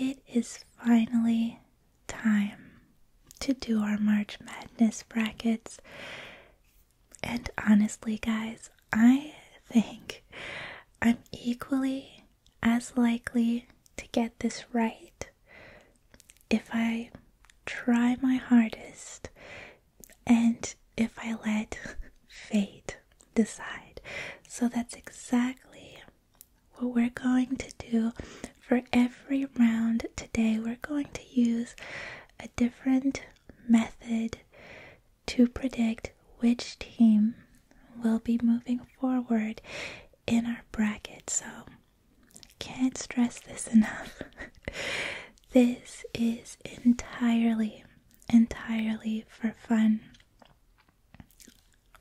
It is finally time to do our March Madness brackets. And honestly, guys, I think I'm equally as likely to get this right if I try my hardest and if I let fate decide. So that's exactly what we're going to do for every round today, we're going to use a different method to predict which team will be moving forward in our bracket. So, can't stress this enough. this is entirely, entirely for fun.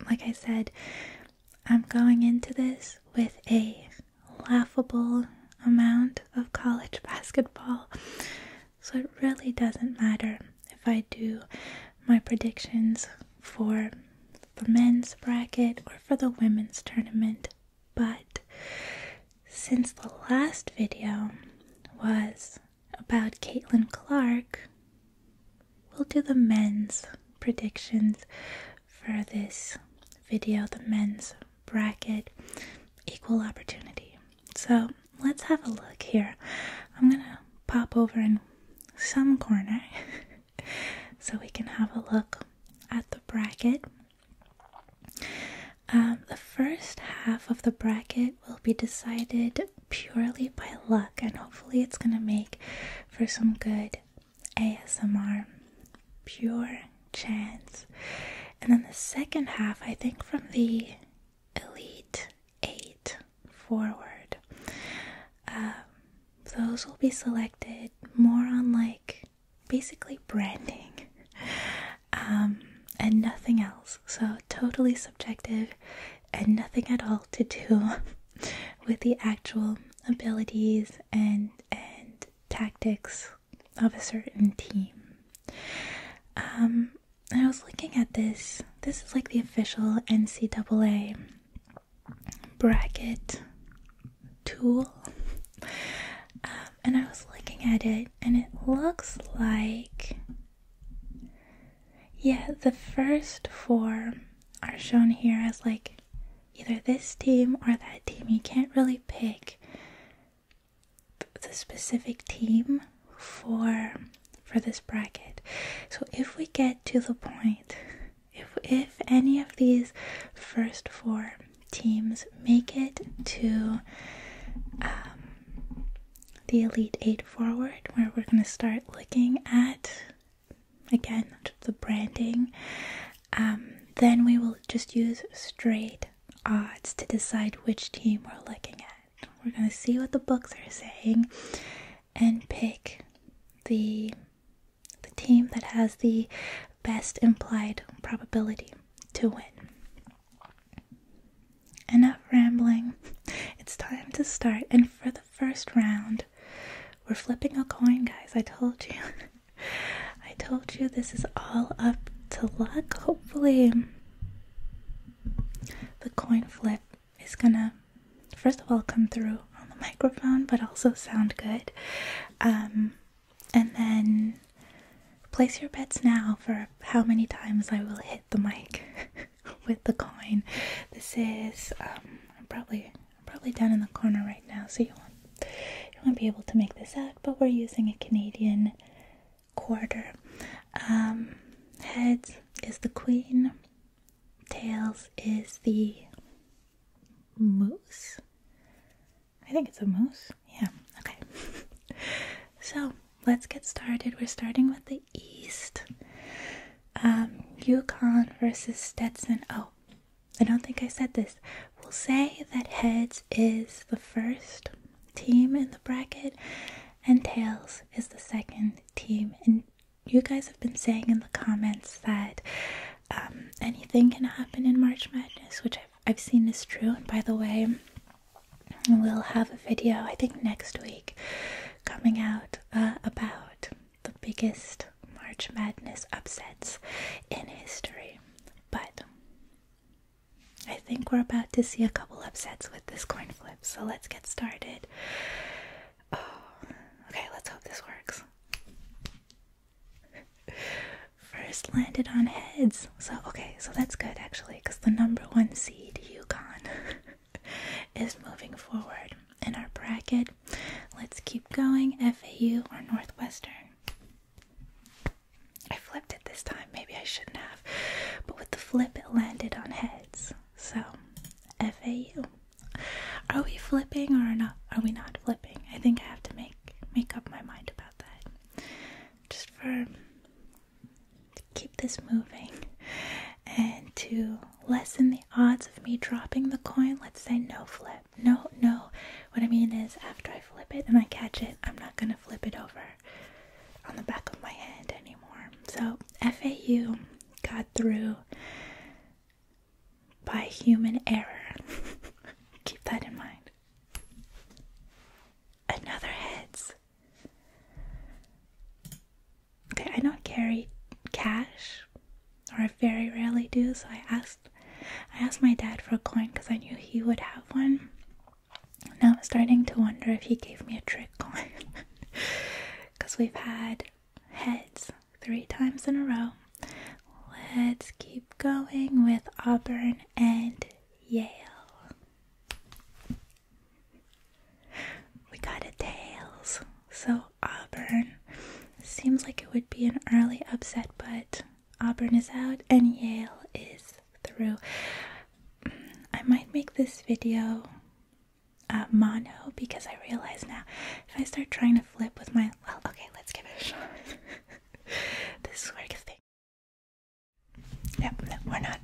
Like I said, I'm going into this with a laughable amount of college basketball, so it really doesn't matter if I do my predictions for the men's bracket or for the women's tournament. But since the last video was about Caitlin Clark, we'll do the men's predictions for this video, the men's bracket equal opportunity. So let's have a look here. I'm gonna pop over in some corner so we can have a look at the bracket. Um, the first half of the bracket will be decided purely by luck, and hopefully, it's going to make for some good ASMR pure chance, And then the second half, I think from the Elite 8 forward, um, those will be selected more on like basically branding um, and nothing else. So, totally subjective and nothing at all to do with the actual abilities and and tactics of a certain team. Um, I was looking at this. This is like the official NCAA bracket tool, um, and I was looking at it, and it looks like yeah, the first four are shown here as like either this team or that team. You can't really pick the specific team for for this bracket. So if we get to the point if if any of these first four teams make it to um, the elite eight forward where we're going to start looking at again the branding um, then we will just use straight odds to decide which team we're looking at we're going to see what the books are saying and pick the the team that has the best implied probability to win enough rambling it's time to start and for the first round we're flipping a coin, guys. I told you. I told you this is all up to luck. Hopefully, the coin flip is gonna, first of all, come through on the microphone, but also sound good. Um, and then place your bets now for how many times I will hit the mic. with the coin. This is um, probably probably down in the corner right now, so you won't be able to make this out. But we're using a Canadian quarter. Um, heads is the queen. Tails is the moose. I think it's a moose. Yeah. Okay. so let's get started. We're starting with the East. Um, Yukon versus Stetson. Oh, I don't think I said this. We'll say that heads is the first team in the bracket, and tails is the second team. And you guys have been saying in the comments that um, anything can happen in March Madness, which I've, seen is true. And by the way, we'll have a video, I think next week, coming out uh, about the biggest March Madness upsets in history. But I think we're about to see a couple upsets with this coin flip, so let's get started. Oh, okay, let's hope this works. First landed on heads. So, okay, so that's good actually, because the number one seed, Yukon. is moving forward. In our bracket, let's keep going FAU or Northwestern. I flipped it this time, maybe I shouldn't have, but with the flip, it landed on heads. So, FAU. Are we flipping or not? Are we not flipping? I think I have to make make up my mind about that. Just for keep this moving and to lessen the odds of me dropping the coin, let's say no flip. No, no. What I mean is, after I flip it and I catch it, I'm not gonna flip it over on the back of my hand anymore. So, FAU got through by human error. Keep that in mind. Another heads. Okay, I don't carry cash, or I very rarely do. So I asked, I asked my dad for a coin because I knew he would have one. Now I'm starting to wonder if he gave me a trick coin, because we've had heads three times in a row. Let's keep going with Auburn and Yale. We got a tails, so Auburn. Seems like it would be an early upset, but Auburn is out and Yale is through. I might make this video uh, mono because I realize now if I start trying to flip with my. Well, okay, let's give it a shot. this sort of thing. Yep, no, we're not.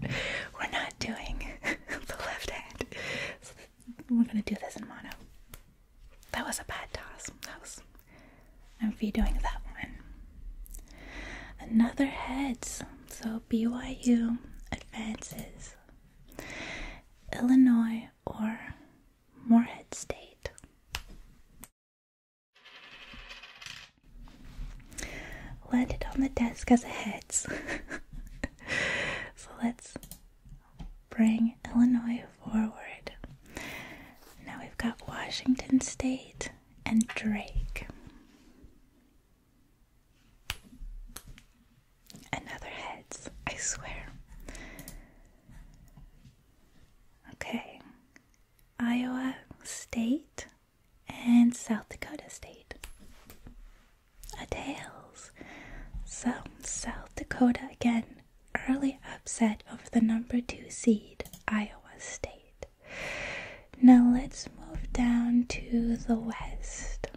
We're not doing the left hand we're gonna do this in mono. That was a bad toss. That was. I'm vetoing that one. Another heads. So BYU advances. Illinois or Moorhead State. Landed on the desk as a heads. so let's bring Illinois forward. Now we've got Washington State and Drake. Another heads, I swear. Okay, Iowa State and South Dakota State. A Tales. Some South Dakota again. Early upset over the number two seed, Iowa State. Now let's move down to the West.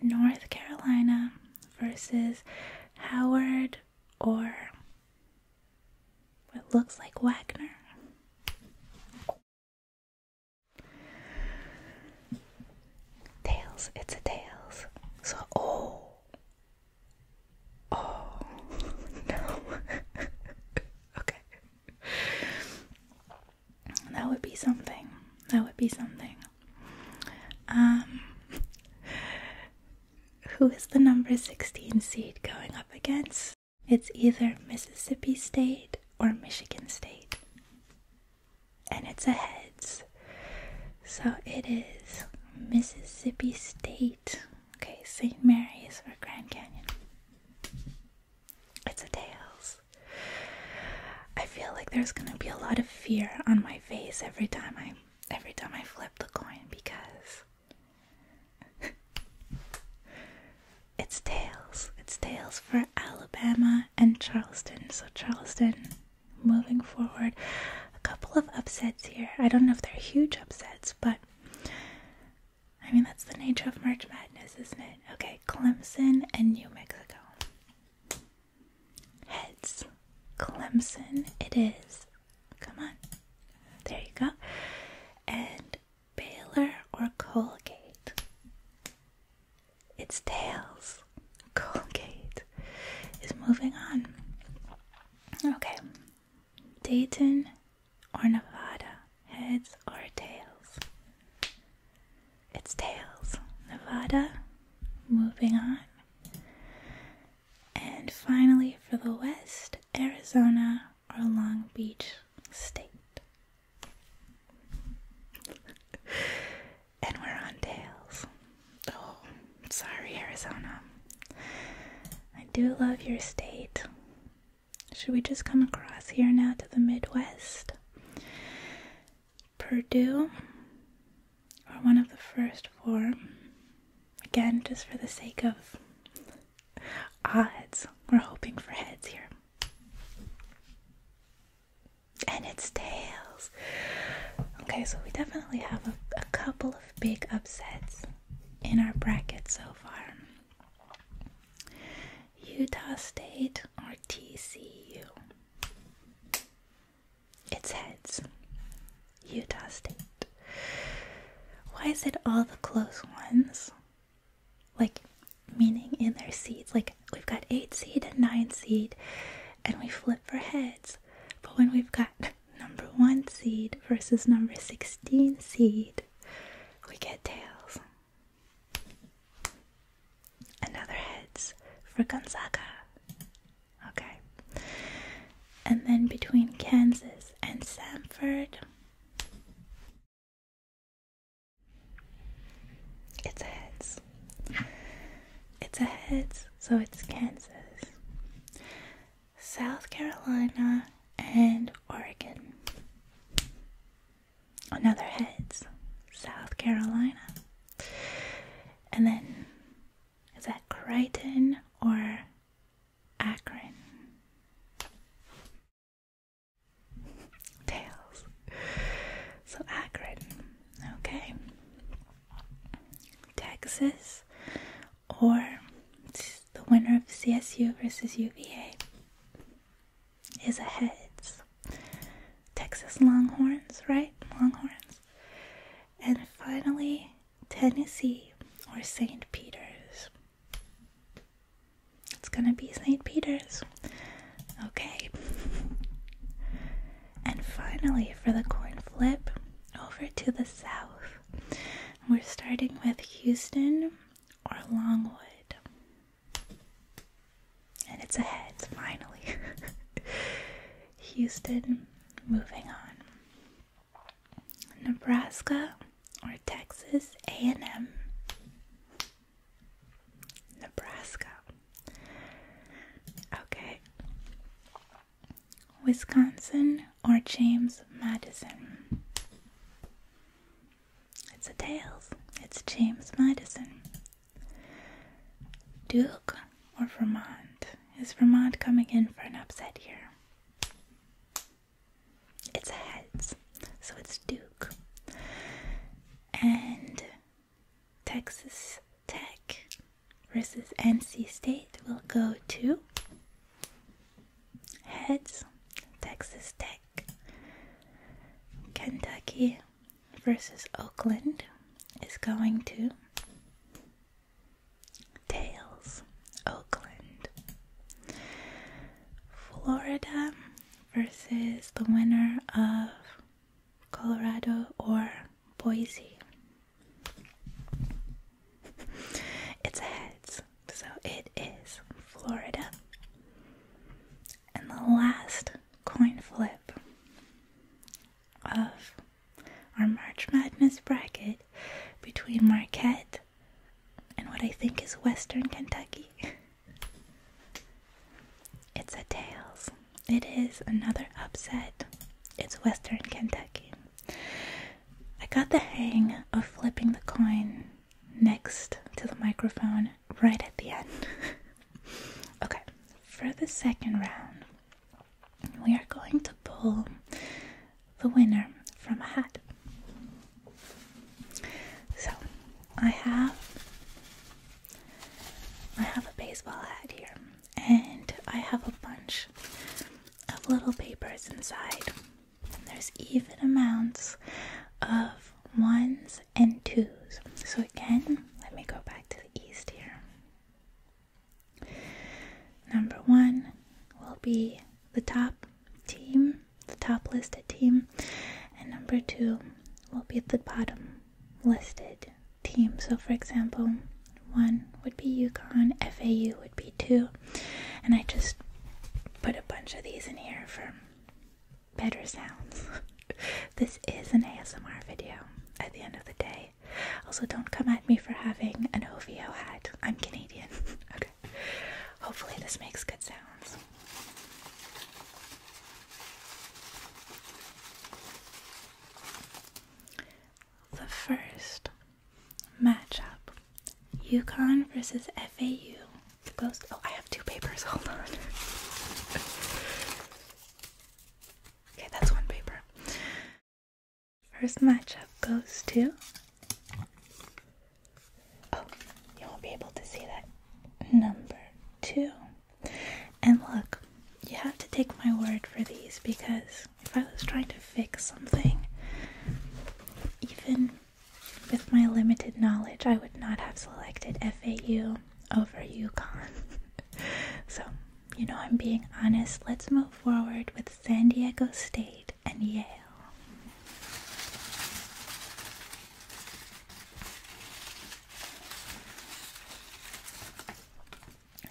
North Carolina versus Howard or what looks like Wagner. Tails, it's a tails. So, oh, oh, no. okay. That would be something. That would be something. Um, who is the number 16 seed going up against? It's either Mississippi State or Michigan State and it's a heads. So it is Mississippi State. Okay, St. Mary's for Grand Canyon. It's a tails. I feel like there's gonna be a lot of fear on my face every time I every time I flip the coin because it's tails. It's tails for Alabama and Charleston. So Charleston moving forward. A couple of upsets here. I don't know if they're huge upsets, but I mean, that's the nature of March Madness, isn't it? Okay, Clemson and New Mexico. Heads. Clemson, it is. Come on. There you go. And Baylor or Colgate? its tails, Colgate, is moving on. Okay, Dayton or Nevada, heads or tails? It's tails. Nevada, moving on. And finally, for the West, Arizona or Long Beach State and we're on tails. Oh, sorry, Arizona. I do love your state. Should we just come across here now to the Midwest? Purdue, or one of the first four. Again, just for the sake of odds, we're hoping for heads here and its tails. Okay, so we definitely have a, a couple of big upsets in our bracket so far. Utah State or TCU? It's heads. Utah State. Why is it all the close ones? Like, meaning in their seats, like we've got eight seed and nine seed, and we flip for heads. But when we've got number one seed versus number 16 seed, we get tails. Another heads for Gonzaga. Okay. And then between Kansas and Samford, it's heads. It's a heads, so it's Kansas. South Carolina and Oregon. Another heads, South Carolina. And then, is that Crichton or Akron? Tails. So Akron Okay. Texas or the winner of CSU versus UVA is ahead. Texas Longhorns, right? Longhorns. And finally, Tennessee or St. Peter's. It's gonna be St. Peter's. Okay. And finally, for the coin flip, over to the south. We're starting with Houston or Longwood. And it's ahead, finally. Houston, moving on. Nebraska or Texas A&M. Nebraska. Okay. Wisconsin or James Madison? It's a tails. It's James Madison. Duke or Vermont? Is Vermont coming in for an upset here? It's heads, so it's Duke. And Texas Tech versus NC State will go to Heads, Texas Tech. Kentucky versus Oakland is going to Tails, Oakland. Florida versus the winner of Colorado or Boise. It's heads, so it is Florida. And the last coin flip of our March Madness bracket between Marquette and what I think is Western Kentucky. It's a tails. It is another upset. It's Western Kentucky. I got the hang of flipping the coin next to the microphone right at the end. okay, for the second round, we are going to pull the winner from a hat. So I have I have a baseball hat here, and I have a bunch of little papers inside. there's even amounts of ones and twos. So, again, let me go back to the east here. Number one will be the top team, the top listed team, and number two will be at the bottom listed team. So, for example, one would be UConn, FAU would be two, and I just put a bunch of these in here for better sounds. this is an ASMR video at the end of the day. Also, don't come at me for having an OVO hat. I'm Canadian. okay. Hopefully, this makes good sounds. The first matchup UConn versus FAU goes. Oh, I have two papers. Hold on. okay, that's one paper. First matchup goes to. Oh, you won't be able to see that. Number two. And look, you have to take my word for these because if I was trying to fix something, even with my limited knowledge, I would not have selected FAU over UConn. so, you know, I'm being honest. Let's move forward with San Diego State and Yale.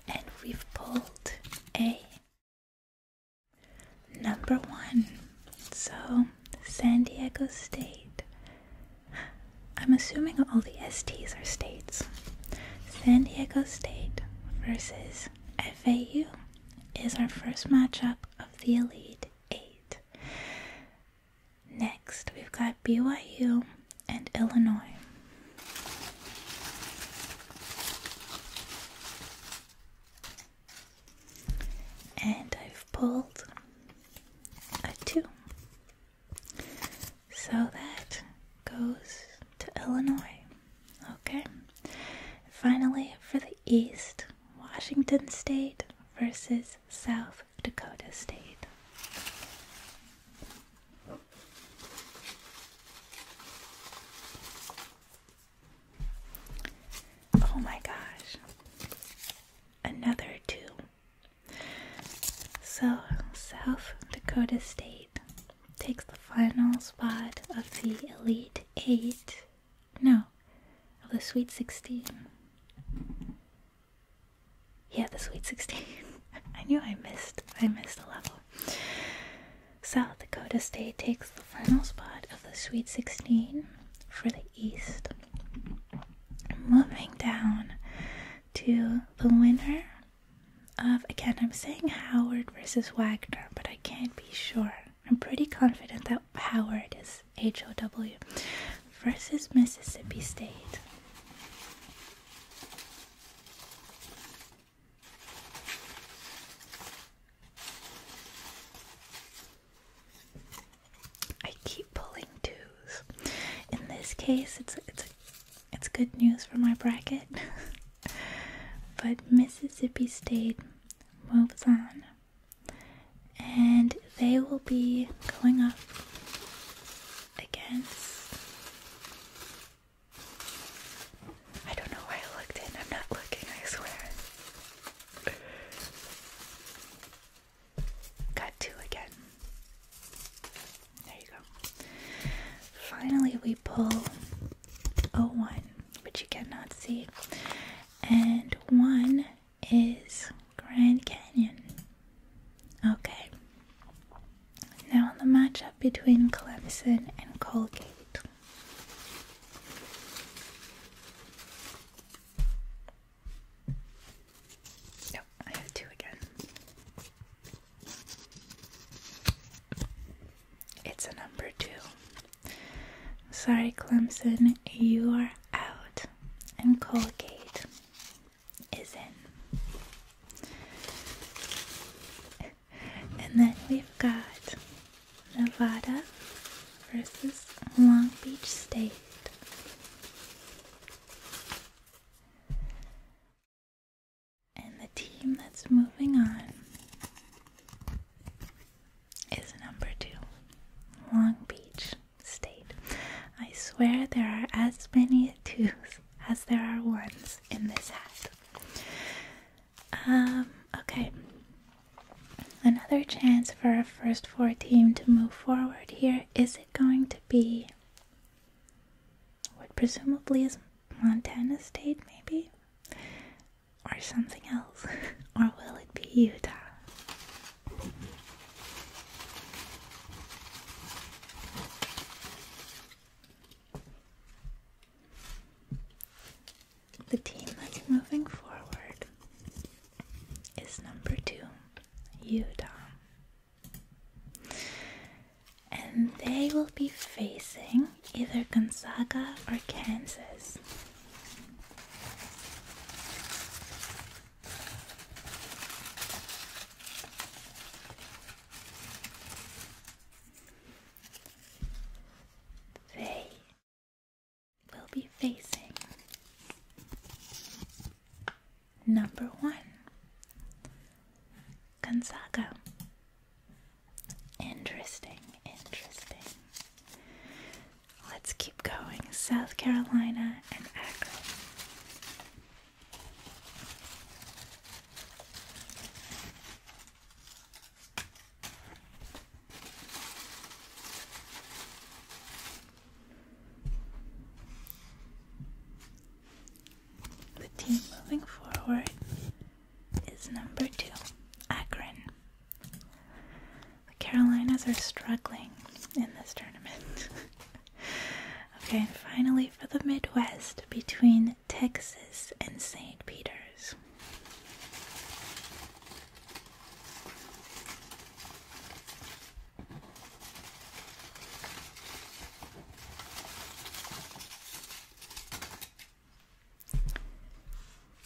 And we've pulled a number one. So, San Diego State. I'm assuming all the STs are states. San Diego State versus FAU is our first matchup of the Elite Eight. Next, we've got BYU and Illinois. And I've pulled a 2. So that goes to Illinois. Okay. Finally, for the East, Washington State versus South Dakota State. Oh my gosh. Another two. So, South Dakota State takes the final spot of the Elite Eight. No, of the Sweet 16. Yeah, the Sweet 16. I knew I missed. I missed a level. South Dakota State takes the final spot of the Sweet 16 for the East. Moving down to the winner of, again, I'm saying Howard versus Wagner, but I can't be sure. I'm pretty confident that Howard is H O W versus Mississippi State. I keep pulling twos. In this case, it's it's it's good news for my bracket. but Mississippi State moves on, and they will be going up against. I don't know why I looked in. I'm not looking, I swear. Got two again. There you go. Finally, we pull 01, which you cannot see, and 1 is Grand Canyon. Okay. Now the matchup between Clemson and Colgate. No, I have two again. It's a number two. Sorry, Clemson, you are out. And Colgate, is in. and then we've got Nevada versus Long Beach State. And the team that's moving on is number two, Long Beach State. I swear there are as many twos as there are ones in this hat. Um, okay. Another chance for our first four team to move forward here. Is it going to be what presumably is Montana State, maybe? Or something else? or will it be Utah? The team that's moving forward is number two, Utah. And they will be facing either Gonzaga or Kansas. They will be facing number one, Gonzaga. Interesting, interesting. Let's keep going. South Carolina and Akron. The team moving forward is number two, Akron. The Carolinas are struggling in this tournament. okay, and finally for the Midwest, between Texas and St. Peter's.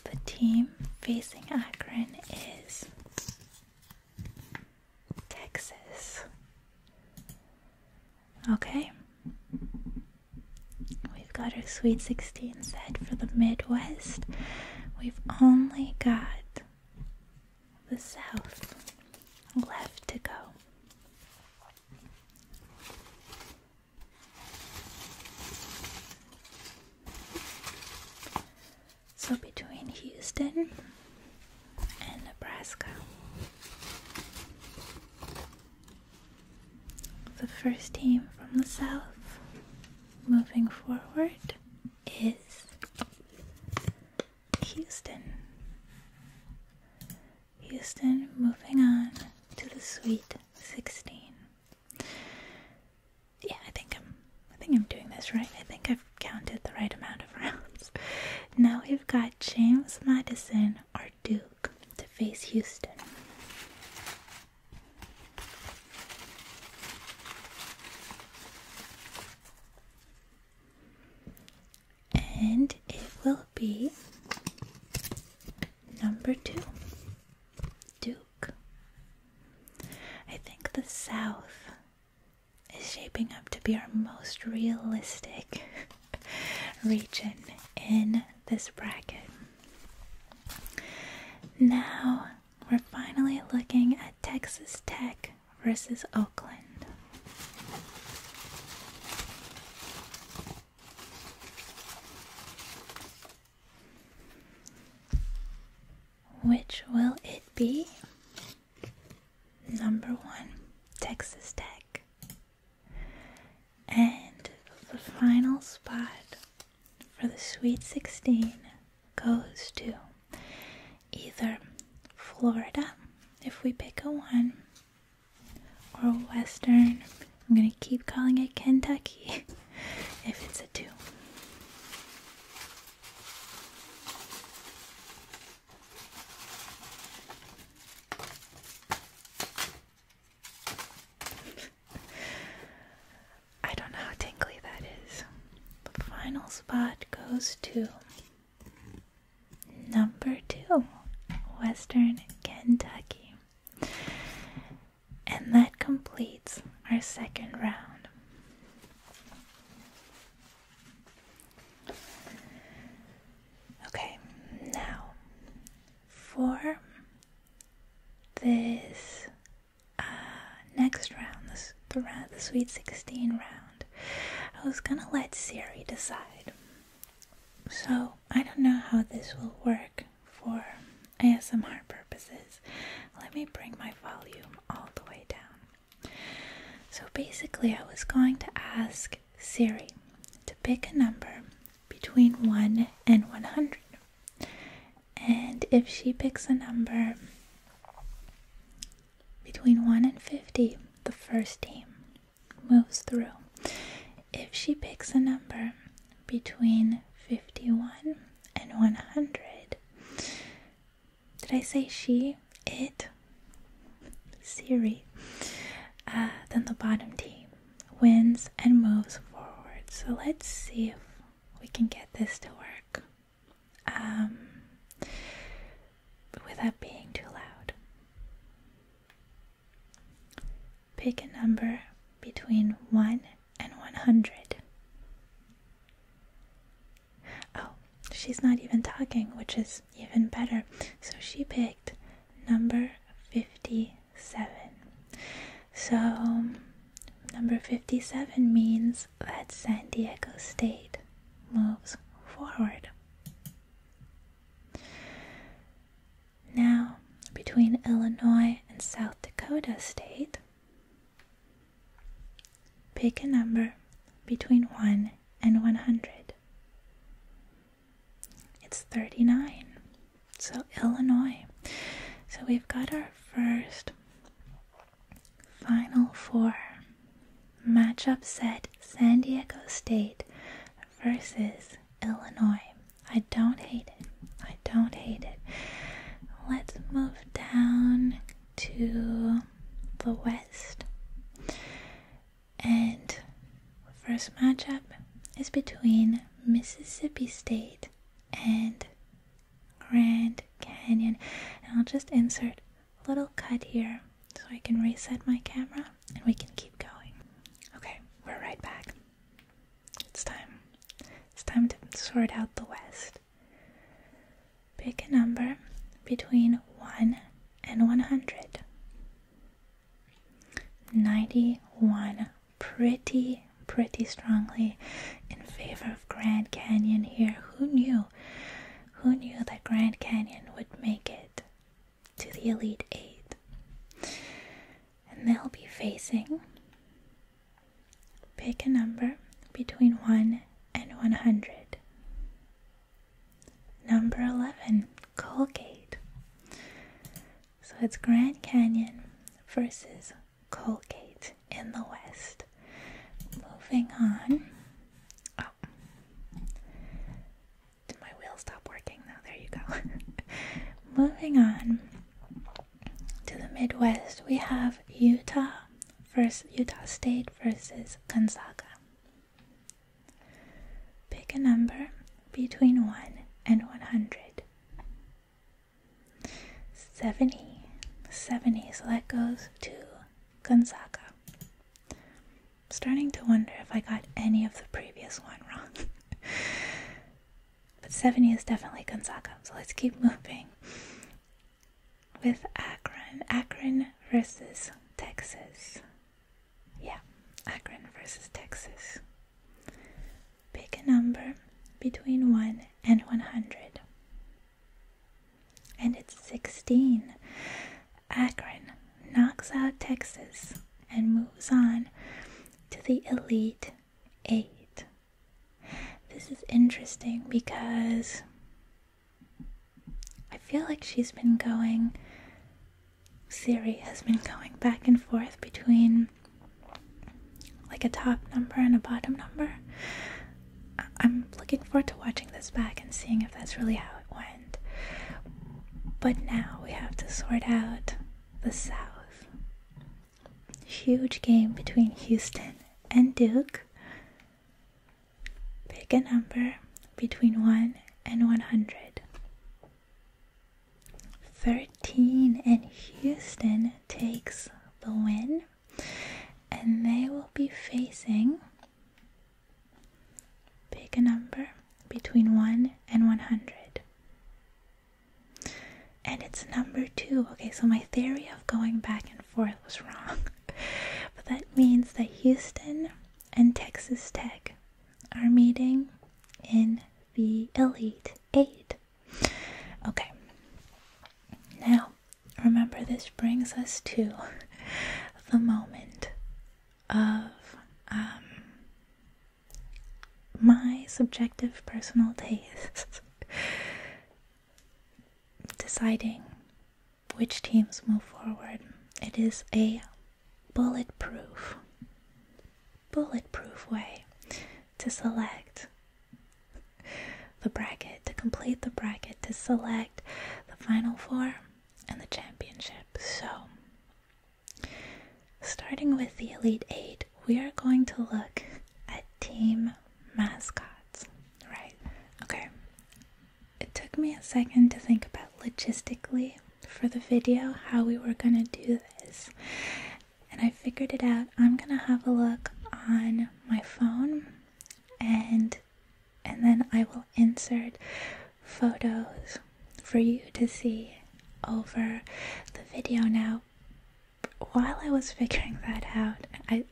The team facing Akron is Texas. Okay. We've got our Sweet 16 set for the Midwest. We've only got the South left to go. So between Houston and Nebraska. The first team from the South moving forward is Houston. Houston moving on to the Sweet 16. Yeah, I think I'm I think I'm doing this right. I think I have counted the right amount of rounds. Now we've got James Madison, or Duke, to face Houston. And it will be number two, Duke. I think the South is shaping up to be our most realistic region in this bracket. Now we're finally looking at Texas Tech versus Oakland. Which will it be? Number one, Texas Tech. And the final spot for the Sweet 16 goes to either Florida, if we pick a one, or Western. I'm going to keep calling it Kentucky if it's a two. I don't know how tingly that is. The final spot goes to number two, Western Kentucky. And that completes our second round. Okay, now for this uh, next round, the round, the Sweet Sixteen round, I was gonna let Siri decide. So I don't know how this will work for ASMR purposes. Let me bring my volume all the way down. So basically, I was going to ask Siri to pick a number between 1 and 100. And if she picks a number between 1 and 50, the first team moves through. If she picks a number between 51 and 100, did I say she? it, Siri, uh, then the bottom team wins and moves forward. So let's see if we can get this to work um, without being too loud. Pick a number between 1 and 100. Oh, she's not even talking, which is even better. So she picked number 57. So number 57 means that San Diego State moves forward. Now, between Illinois and South Dakota State, pick a number between 1 and 100. It's 39. So, Illinois. So, we've got our first Final Four matchup set San Diego State versus Illinois. I don't hate it. I don't hate it. Let's move down to the West. And first matchup is between Mississippi State and Grand Canyon. And I'll just insert a little cut here so I can reset my camera and we can keep going. Okay, we're right back. It's time. It's time to sort out the West. Pick a number between 1 and 100. 91 pretty pretty strongly in favor of Grand Canyon here. Who knew? Who knew that Grand Canyon would make it to the Elite 8? And they'll be facing pick a number between 1 and 100. Number 11, Colgate. So it's Grand Canyon versus Colgate in the West. Moving on. Oh. Did my wheel stop working now? There you go. Moving on to the Midwest, we have Utah versus Utah State versus Gonzaga. Pick a number between 1 and 100. 70. 70, so that goes to Gonzaga. Starting to wonder if I got any of the previous one wrong. but 70 is definitely Gonzaga, so let's keep moving. With Akron. Akron versus Texas. Yeah, Akron versus Texas. Pick a number between 1 and 100. And it's 16. Akron knocks out Texas and moves on to the Elite Eight. This is interesting because I feel like she's been going, Siri has been going back and forth between like a top number and a bottom number. I'm looking forward to watching this back and seeing if that's really how it went. But now we have to sort out the South. Huge game between Houston and Duke. Pick a number between 1 and 100. 13 and Houston takes the win, and they will be facing. Pick a number between 1 and 100. And it's number 2. Okay, so my theory of going back and forth was wrong. but that means that Houston and Texas Tech are meeting in the Elite Eight. Okay, now remember this brings us to the moment of um, my subjective personal taste deciding which teams move forward. It is a bulletproof, bulletproof way to select the bracket, to complete the bracket, to select the final four and the championship. So, starting with the Elite Eight, we are going to look at team mascots, right? Okay, it took me a second to think about logistically for the video how we were gonna do this, and I figured it out. I'm gonna have a look on my phone, and and then I will insert photos for you to see over the video. Now, while I was figuring that out, I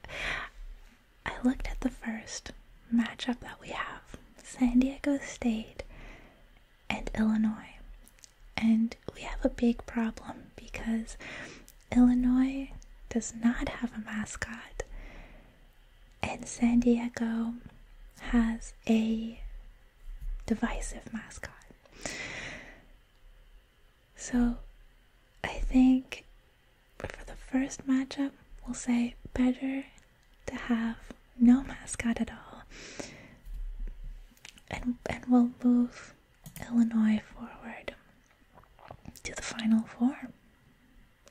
I looked at the first matchup that we have San Diego State and Illinois. And we have a big problem because Illinois does not have a mascot, and San Diego has a divisive mascot. So I think for the first matchup, we'll say better to have no mascot at all and and will move Illinois forward to the final four.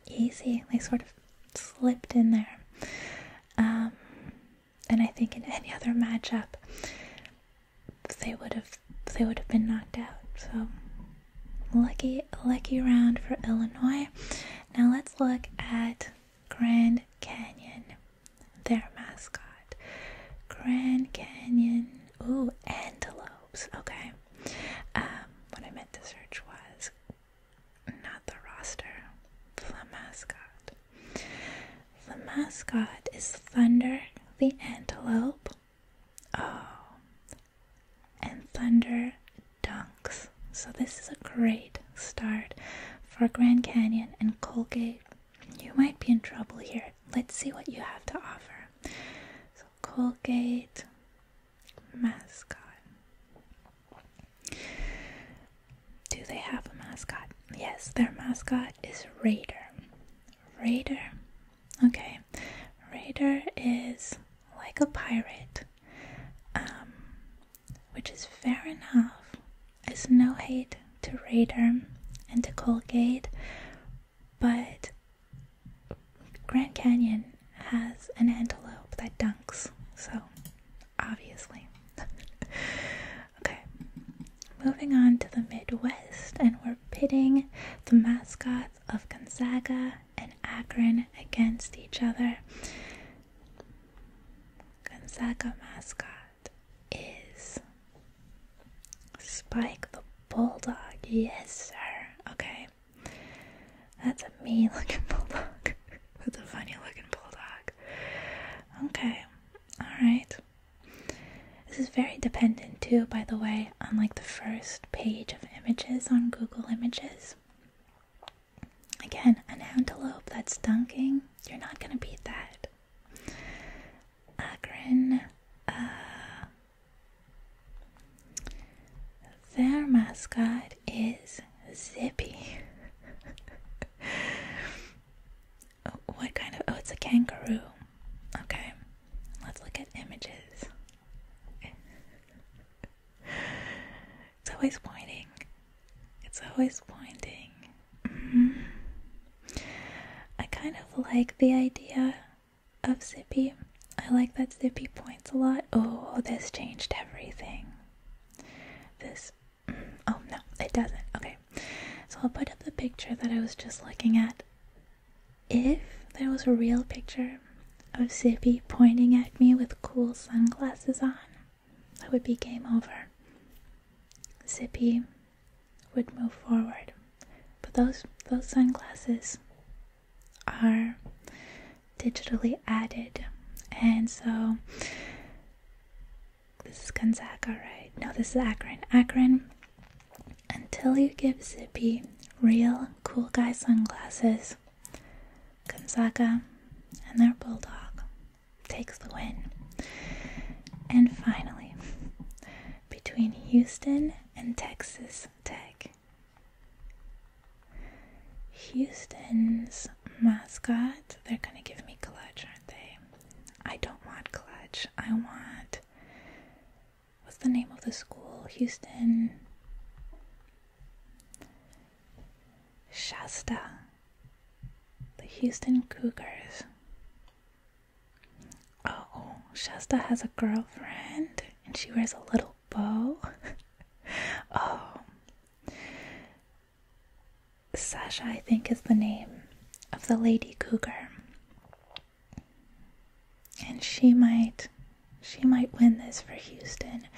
Easy. They sort of slipped in there. Um, and I think in any other matchup they would have they would have been knocked out. So lucky lucky round for Illinois. Now let's look at Grand Canyon, their mascot. Grand Canyon, ooh, antelopes, okay. Um, what I meant to search was not the roster, the mascot. The mascot is Thunder the antelope. Oh, and Thunder dunks. So, this is a great start for Grand Canyon and Colgate. You might be in trouble here. Let's see what you have to offer. So, Colgate mascot. Do they have a mascot? Yes, their mascot is Raider. Raider. Okay. Raider is like a pirate. Um, which is fair enough. It's no hate to Radom and to Colgate, but Grand Canyon has an antelope that dunks, so obviously. okay, moving on to the Midwest, and we're pitting the mascots of Gonzaga and Akron against each other. Gonzaga mascot is Spike the Bulldog. Yes, sir. Okay. That's a mean looking bulldog. That's a funny looking bulldog. Okay. Alright. This is very dependent too, by the way, on like the first page of images on Google Images. Again, an antelope that's dunking, you're not gonna beat that. Akron, uh, their mascot is Zippy. Oh, what kind of. Oh, it's a kangaroo. Okay, let's look at images. It's always whining. It's always winding. Mm-hmm. I kind of like the idea of Zippy. I like that Zippy points a lot. Oh, this changed everything. This. Mm, oh, no, it doesn't. Okay. So I'll put up the picture that I was just looking at. If there was a real picture of Zippy pointing at me with cool sunglasses on, that would be game over. Zippy would move forward. But those those sunglasses are digitally added. And so this is Gonzaga, right? No, this is Akron. Akron, until you give Zippy real cool guy sunglasses, Gonzaga and their bulldog takes the win. And finally, between Houston and Texas Tech, Houston's mascot, they're going to give me Clutch, aren't they? I don't want Clutch. I want. What's the name of the school? Houston. Shasta, the Houston Cougars. Oh, Shasta has a girlfriend and she wears a little bow. oh, Sasha, I think, is the name of the lady cougar. And she might she might win this for Houston.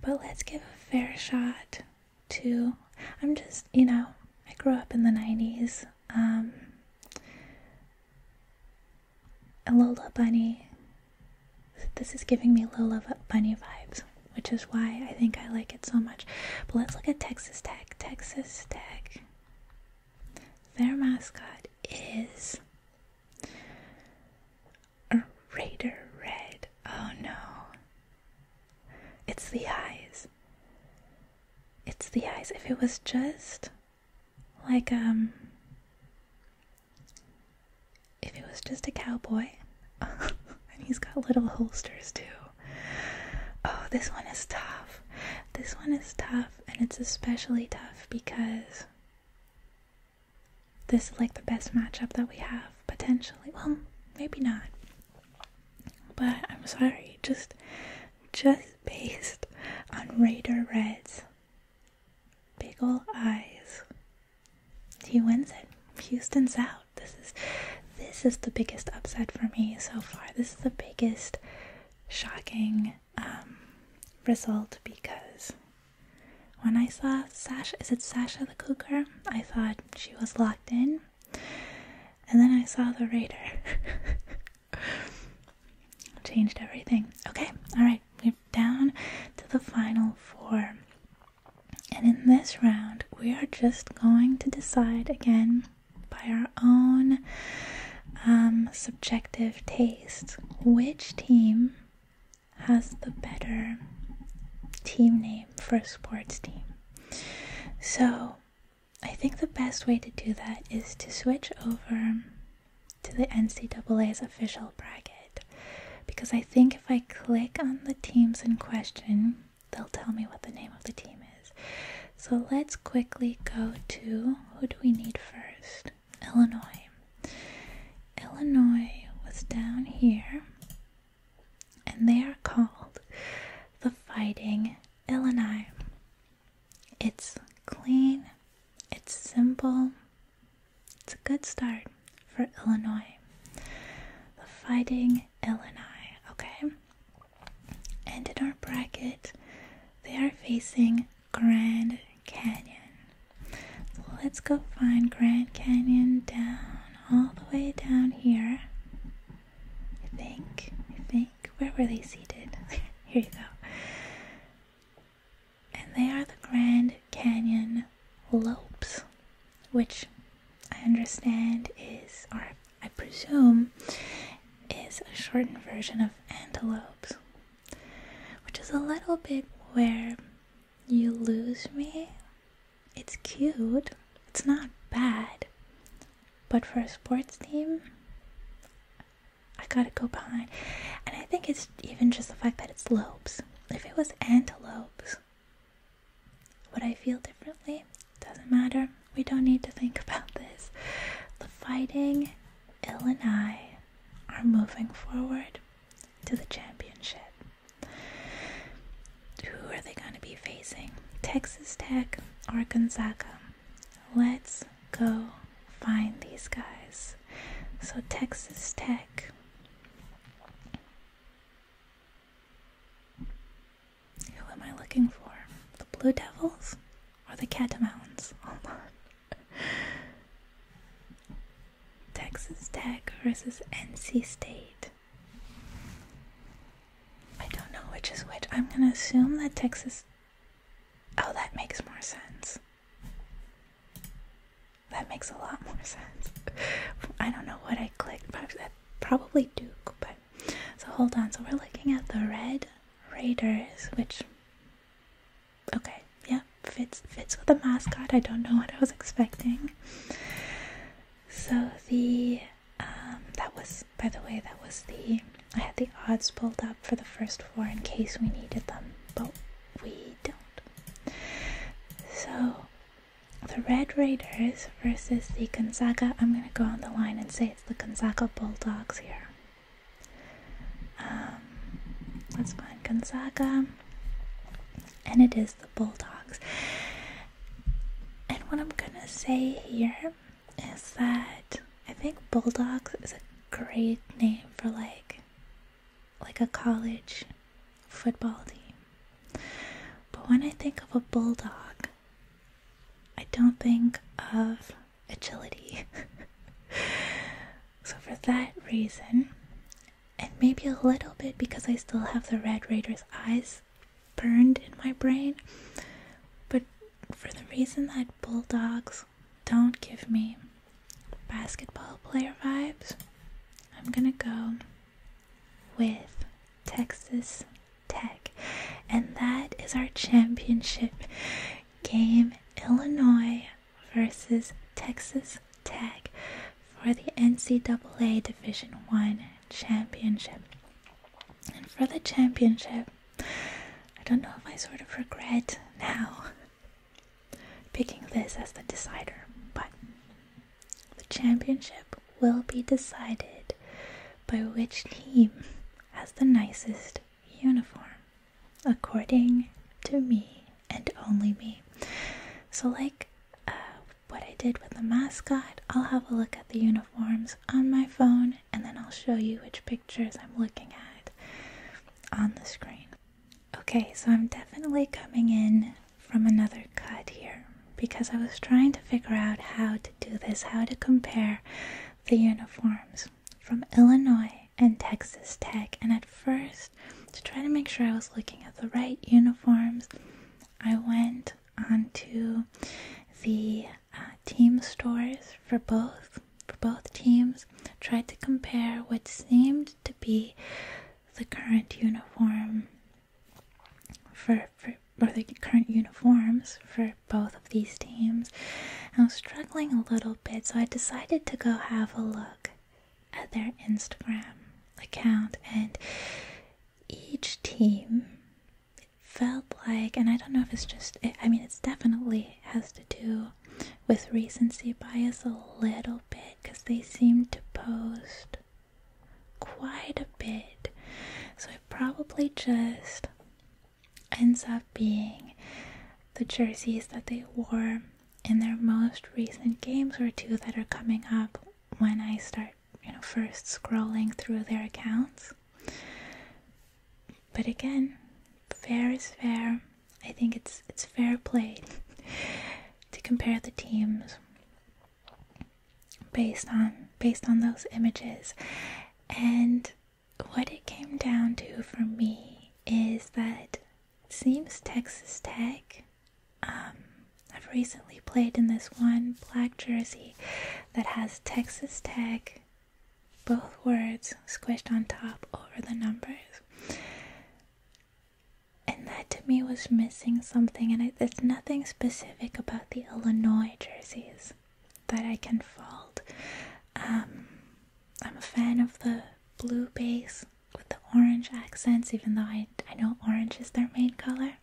But let's give a fair shot to. I'm just, you know, I grew up in the 90s. Um, Lola Bunny. This is giving me Lola Bunny vibes, which is why I think I like it so much. But let's look at Texas Tech. Texas Tech. Their mascot is a raider red. Oh no. It's the eyes. It's the eyes. If it was just like, um, if it was just a cowboy, and he's got little holsters too. Oh, this one is tough. This one is tough, and it's especially tough because this is like the best matchup that we have potentially. Well, maybe not. But I'm sorry, just just based on Raider Red's big ol' eyes. He wins it. Houston's out. This is this is the biggest upset for me so far. This is the biggest shocking um, result because when I saw Sasha, is it Sasha the cougar? I thought she was locked in. And then I saw the raider. Changed everything. Okay, alright, we're down to the final four. And in this round, we are just going to decide again by our own um, subjective taste which team has the better team name for a sports team. So I think the best way to do that is to switch over to the NCAA's official bracket because I think if I click on the teams in question, they'll tell me what the name of the team is. So let's quickly go to who do we need first? Illinois. Illinois was down here, and they are called the Fighting Illini. It's clean, it's simple, it's a good start for Illinois. The Fighting Illini, okay? And in our bracket, they are facing Grand Canyon let's go find Grand Canyon down, all the way down here. I think, I think. Where were they seated? here you go. And they are the Grand Canyon Lopes, which I understand is, or I presume, is a shortened version of antelopes, which is a little bit where you lose me? It's cute. It's not bad. But for a sports team, I gotta go behind. And I think it's even just the fact that it's lobes. If it was antelopes, would I feel differently? Doesn't matter. We don't need to think about this. The fighting, Ill and I are moving forward to the championship. Who are they going to be facing? Texas Tech or Gonzaga? Let's go find these guys. So, Texas Tech. Who am I looking for? The Blue Devils or the Catamounts? Hold on. Oh Texas Tech versus NC State. I don't know which is which. I'm gonna assume that Texas. Oh, that makes more sense. That makes a lot more sense. I don't know what I clicked. Probably Duke, but. So hold on. So we're looking at the Red Raiders, which. Okay, yeah fits fits with the mascot. I don't know what I was expecting. So the um, that was by the way that was the I had the odds pulled up for the first four in case we needed them, but we don't. So the Red Raiders versus the Gonzaga. I'm gonna go on the line and say it's the Gonzaga Bulldogs here. Um, let's find Gonzaga, and it is the Bulldogs. And what I'm gonna say here is that I think Bulldogs is a great name for like like a college football team. But when I think of a bulldog, I don't think of agility. so for that reason, and maybe a little bit because I still have the Red Raider's eyes burned in my brain. But for the reason that Bulldogs don't give me basketball player vibes, I'm gonna go with Texas Tech. And that is our championship game Illinois versus Texas tag for the NCAA Division One championship. And for the championship, I don't know if I sort of regret now picking this as the decider, but the championship will be decided by which team has the nicest uniform, according to me and only me. So, like uh, what I did with the mascot. I'll have a look at the uniforms on my phone and then I'll show you which pictures I'm looking at on the screen. Okay, so I'm definitely coming in from another cut here because I was trying to figure out how to do this, how to compare the uniforms from Illinois and Texas Tech, and at first to try to make sure I was looking at the right uniforms. I went onto the uh, team stores for both for both teams, tried to compare what seemed to be the current uniform for, for or the current uniforms for both of these teams. I was struggling a little bit, so I decided to go have a look at their Instagram account, and each team felt like, and I don't know if it's just, I mean, it's definitely has to do with recency bias a little bit because they seem to post quite a bit. So it probably just ends up being the jerseys that they wore in their most recent games or two that are coming up when I start, you know, first scrolling through their accounts. But again, fair is fair. I think it's it's fair play to compare the teams based on based on those images. And what it came down to for me is that seems Texas Tech. Um, I've recently played in this one black jersey that has Texas Tech, both words squished on top over the numbers. And that to me was missing something, and it's nothing specific about the Illinois jerseys that I can fault. Um, I'm a fan of the blue base with the orange accents, even though I, I know orange is their main color.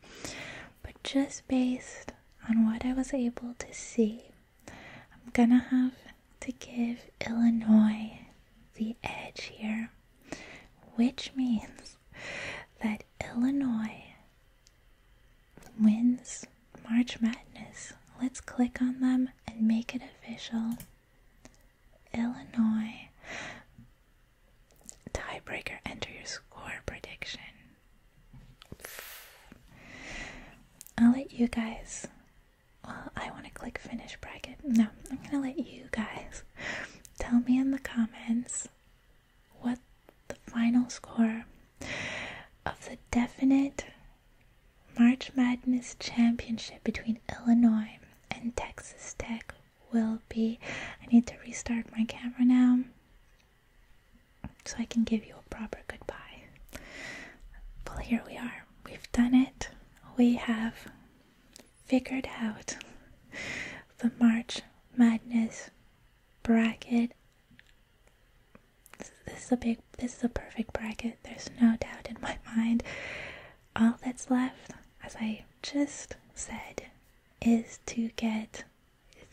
But just based on what I was able to see, I'm gonna have to give Illinois the edge here, which means that Illinois wins March Madness. Let's click on them and make it official. Illinois. Tiebreaker, enter your score prediction. I'll let you guys. Well, I want to click finish bracket. No, I'm going to let you guys tell me in the comments what the final score of the definite March Madness Championship between Illinois and Texas Tech will be. I need to restart my camera now so I can give you a proper goodbye. Well, here we are. We've done it. We have figured out the March Madness bracket. This is a big, this is a perfect bracket. There's no doubt in my mind. All that's left, as I just said is to get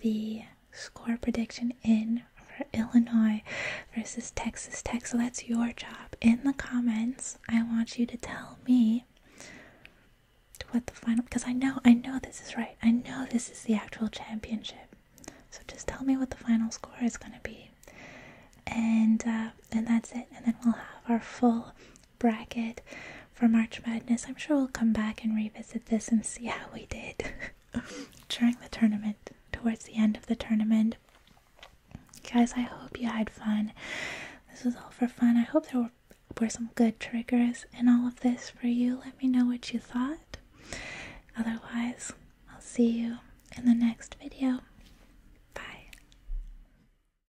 the score prediction in for Illinois versus Texas Tech. So that's your job. In the comments, I want you to tell me what the final because I know I know this is right. I know this is the actual championship. So just tell me what the final score is going to be. And uh, and that's it. And then we'll have our full bracket for March Madness. I'm sure we'll come back and revisit this and see how we did during the tournament, towards the end of the tournament. Guys, I hope you had fun. This was all for fun. I hope there were, some good triggers in all of this for you. Let me know what you thought. Otherwise, I'll see you in the next video. Bye.